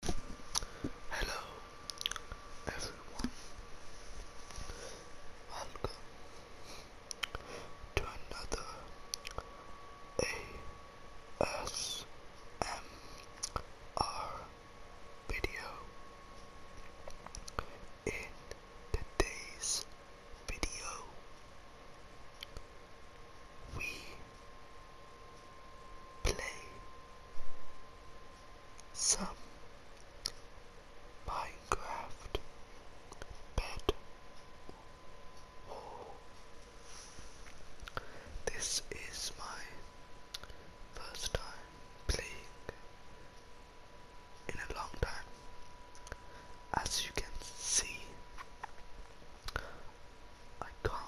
Hello everyone, welcome to another ASMR video. In today's video, we play some Minecraft bed war. This is my first time playing in a long time. As you can see, I can't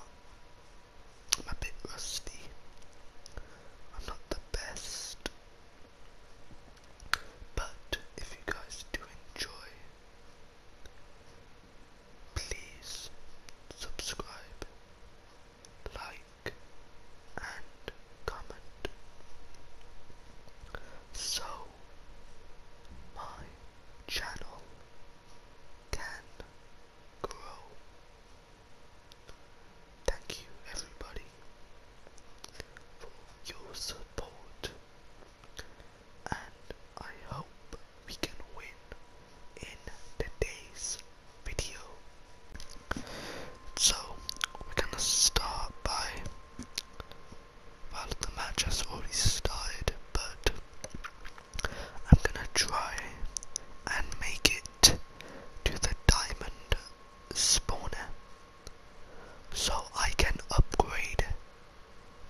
I'm a bit rusty. I'm not the best. But if you guys do enjoy, please subscribe, like, and comment. So my channel can grow. Thank you, everybody, for your support, and I hope we can win in the days' video. So, we're gonna start by. Well, the match has already started, but I'm gonna try and make it to the diamond spawner so I can upgrade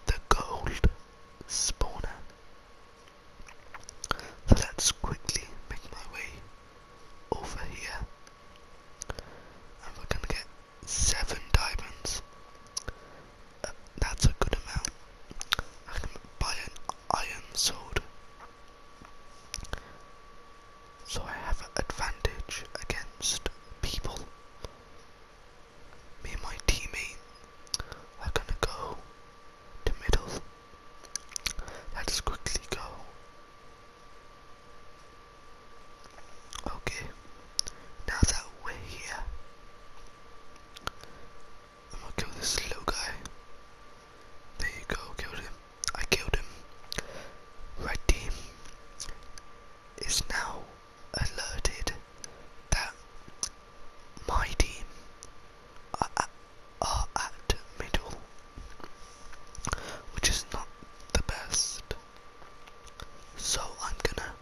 the gold spawner. So let's quickly make my way over here. And we're gonna get seven diamonds that's a good amount. I can buy an iron sword. So I have advantage against people. Me and my teammate are gonna go to middle. Let's quickly go. Okay, now that we're here, I'm gonna kill this slow guy. There you go, killed him. I killed him. Red team is now alerted that my team are at, are at middle, which is not the best. So I'm gonna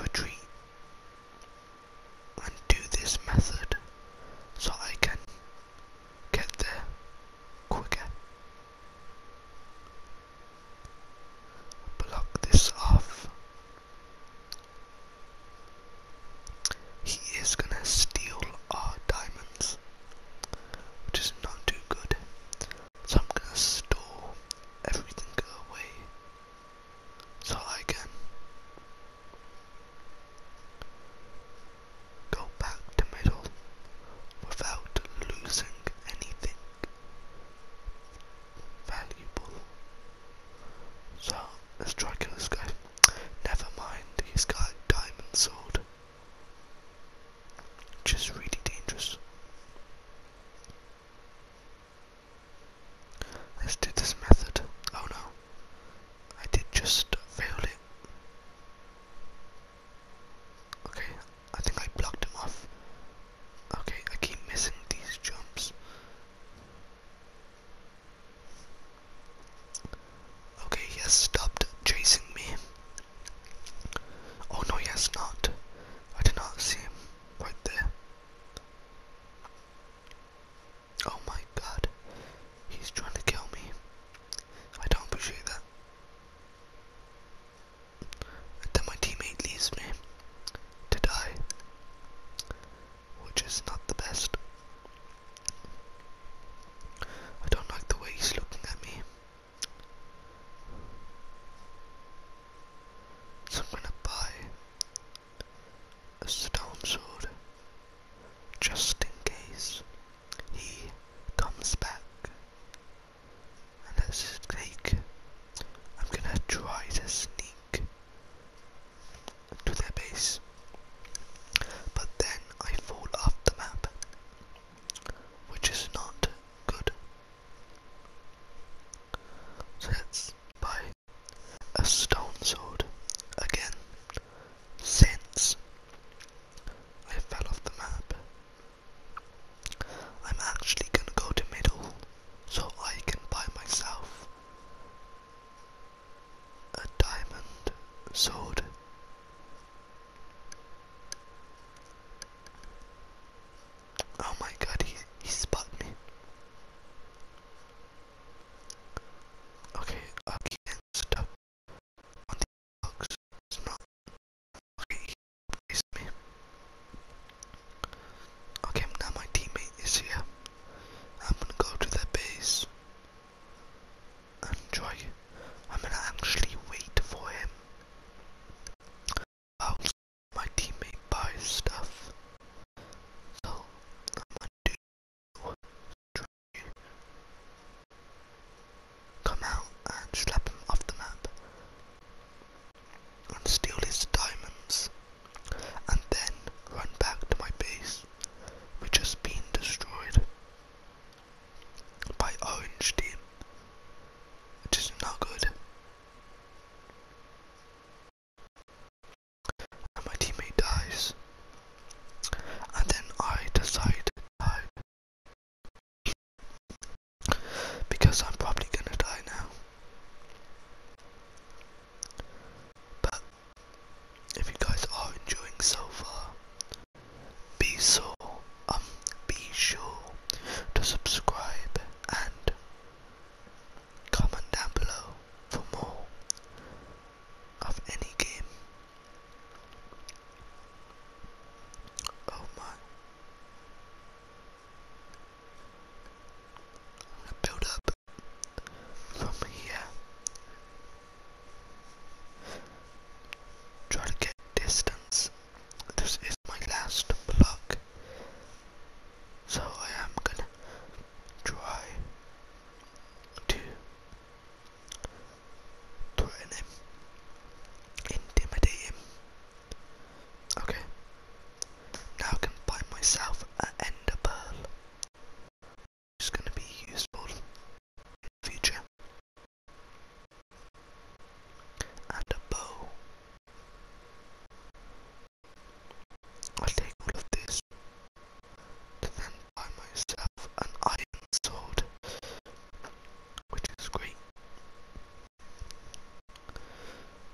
retreat and do this method so I can get there quicker. Block this off. He is gonna steal our diamonds, which is not too good. So I'm gonna store everything away so I can go back to middle without losing anything valuable. So let guy. Never mind, he's got diamond sword. Just really dangerous. Let's do this method. Oh no, I did just fail it. Okay, I think I blocked him off. Okay, I keep missing these jumps. Okay, he has stopped chasing me. Oh no, he has not. I did not see him right there. Oh my god, he's trying to kill me. I don't appreciate that. then my teammate leaves me to die, which is not the best. I don't like the way he's looking at me. So I'm gonna buy a stone sword just in case he comes back. And let's just I'm gonna try to sneak to their base, but then I fall off the map, which is not good. So let's a stone sword again since I fell off the map. I'm actually gonna go to middle so I can buy myself a diamond sword. Oh my god, he, he spotted me. Okay, again, stuff on the not. Okay, he me. Okay, now my teammate is here. I'm gonna go to the base and try. I'm gonna actually wait for him. I'll let my teammate buy stuff. So I'm gonna do try come out and slap him off the map and steal his diamonds and then run back to my base which has been destroyed by orange team which is not good and my teammate dies. And then I decide to die. Because I'm probably gonna die now. But if you guys are enjoying so far, be so um be sure to subscribe and Comment down below for more of any game. Oh my. I'm gonna build up from here. Try to get distance. This is my last block. So I am gonna try to threaten him, intimidate him. Okay, now I can buy myself an ender pearl. It's gonna be useful in the future. And a bow. I will take all of this and then buy myself an iron sword, which is great.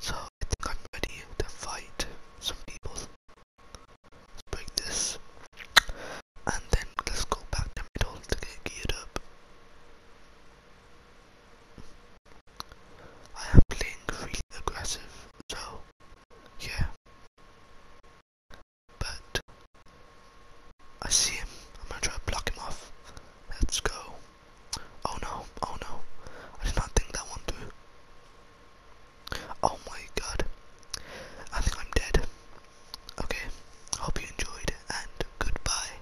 So I think I'm ready to fight some people. Let's break this, and then let's go back to middle to get geared up. I am playing really aggressive, so yeah. But I see him. I'm gonna try to block him off. Let's go. Oh no, oh no. I did not think that one through. Oh my god. I think I'm dead. Okay. Hope you enjoyed and goodbye.